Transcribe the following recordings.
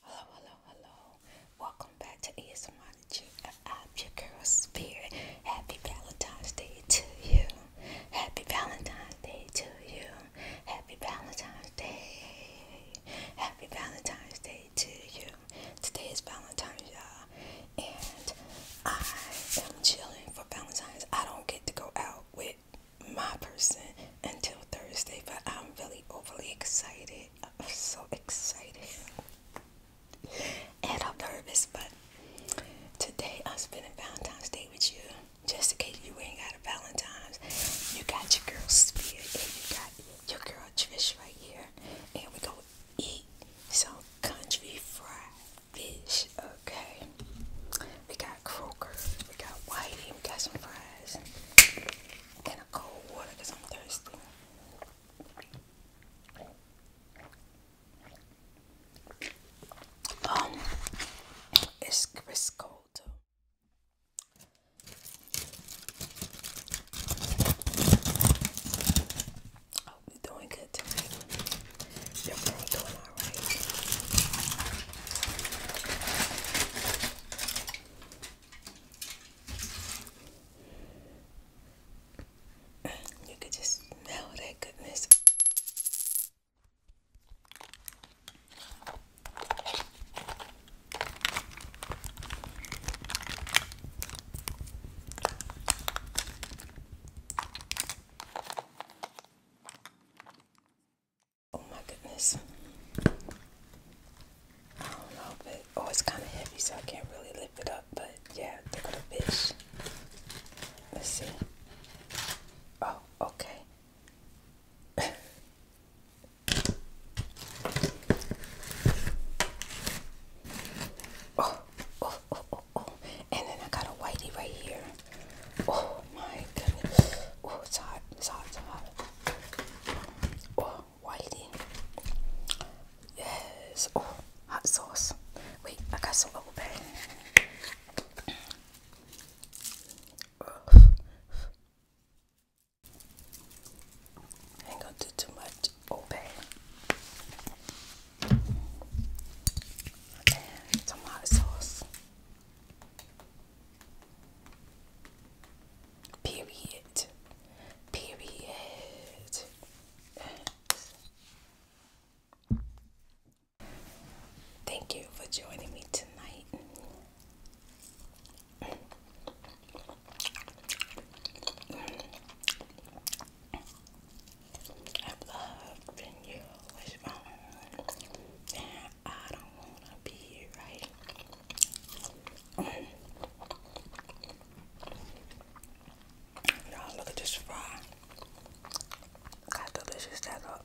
Hello, hello, hello. Welcome back to ASMology. Uh, I'm your girl Spirit. Happy Valentine's Day to you. Happy Valentine's Day to you. Happy Valentine's Day. Happy Valentine's Day to you. Today is Valentine's, y'all. And I am chilling for Valentine's. I don't get to go out with my person until Thursday, but I'm really overly excited. I'm so excited and I'm nervous, but today I'm spending Valentine's Day with you. Just in case you ain't got a Valentine's, you got your girl spirit and you got your girl Trish right here, and we go eat some country fried fish. Okay, we got croaker, we got whitey, we got some fried guys. a cold water because I'm thirsty. Um, it's it's cold too. you're oh, doing good tonight. Your girl doing alright. You could just smell that goodness. Oh my goodness. I don't know, but oh, it's kind of heavy, so I can't really lift it up. But yeah, look at the bitch. Let's see. Oh, okay. oh, oh, oh, oh, oh. And then I got a whitey right here. Oh my goodness. Oh, it's hot. It's hot. It's hot. Oh, whitey. Yes. Oh, hot sauce. Wait, I got some bubble bath. ain't gonna do too much. Obey. Oh, and some hot sauce. Period. Period. Thank you for joining me tonight. I've loved you with my um, I don't want to be here, right? Um, y'all, look at this fry. delicious that up.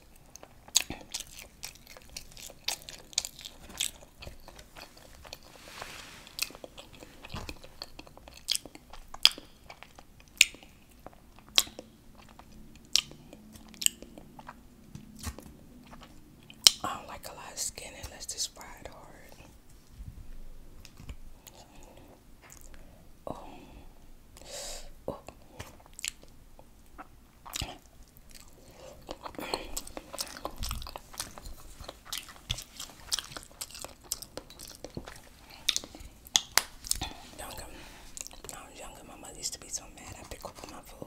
I don't like a lot of skin unless it's fried hard. Oh. Oh. Younger, when I was younger, my mother used to be so mad. I pick up my food.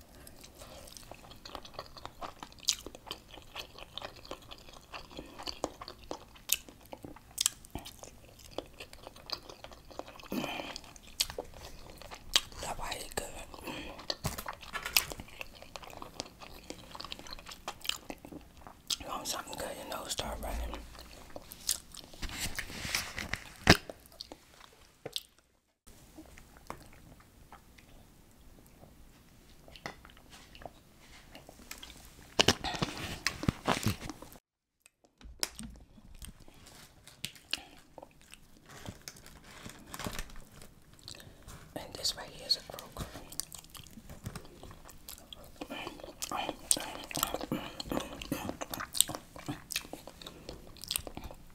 That bite is good. You want something good, your nose start running. And this right here is a croaker.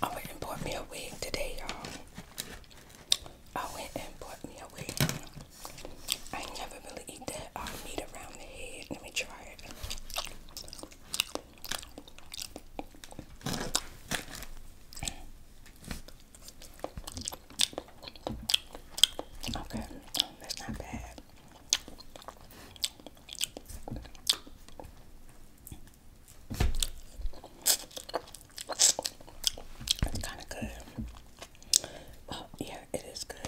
I went and bought me a wig today, y'all. I went and bought me a wig. I never really eat that uh, meat around the head. Let me try it. Okay, that's not bad. It's kind of good. Well, oh, yeah, it is good.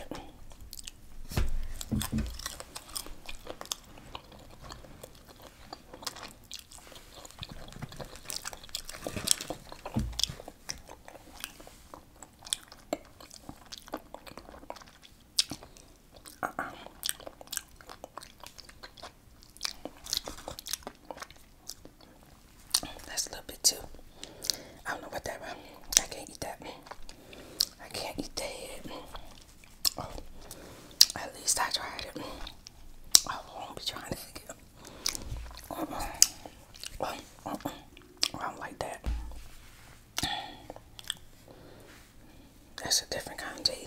That's a little bit too. I don't know what that was. I can't eat that. I can't eat that oh, at least I tried it. I won't be trying to again. Oh, I like that. That's a different kind of tea.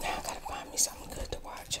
Now I gotta find me something good to watch.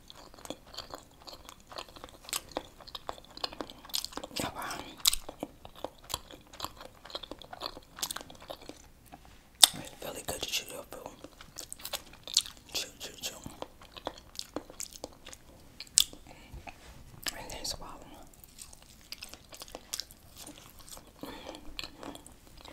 Ama it's really good to chew your food. Chew, chew, chew. And then swallow.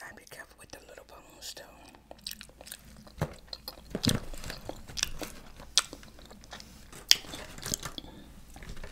I to be careful with the little bones too.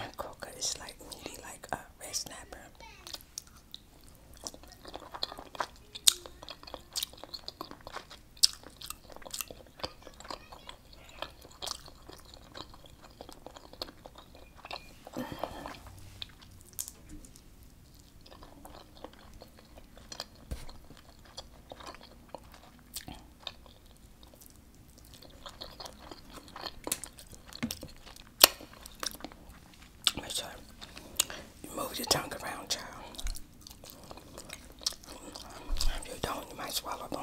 And coca is like really like a red snapper. Make sure you move your tongue around, child. If you don't, you might swallow bone.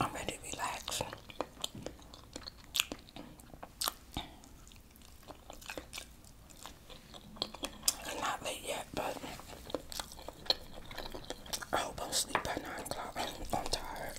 I'm ready to relax. not late yet, but I hope I'm asleep by 9 o'clock. I'm tired.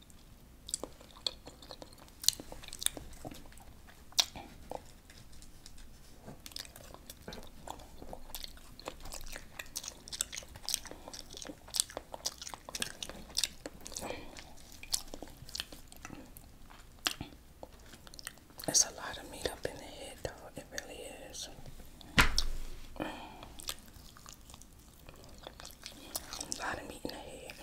It's a lot of meat up in the head, though. It really is. A lot of meat in the head.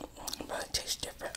Mm, but it tastes different.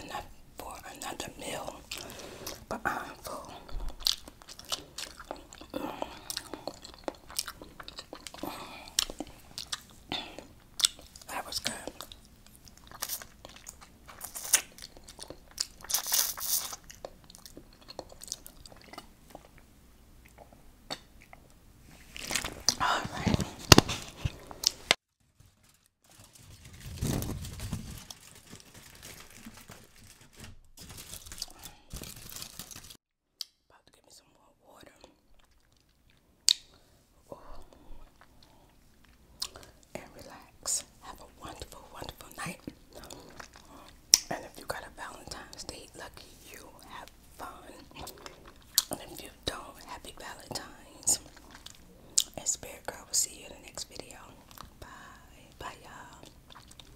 enough for another meal, but I'm uh, full. That was good. All right. About to give me some more water. And relax. Have a wonderful, wonderful night. And if you got a Valentine's Day, lucky you have fun. And if you don't, happy Valentine's. And Spirit Girl we will see you in the next video. Bye. Bye, y'all.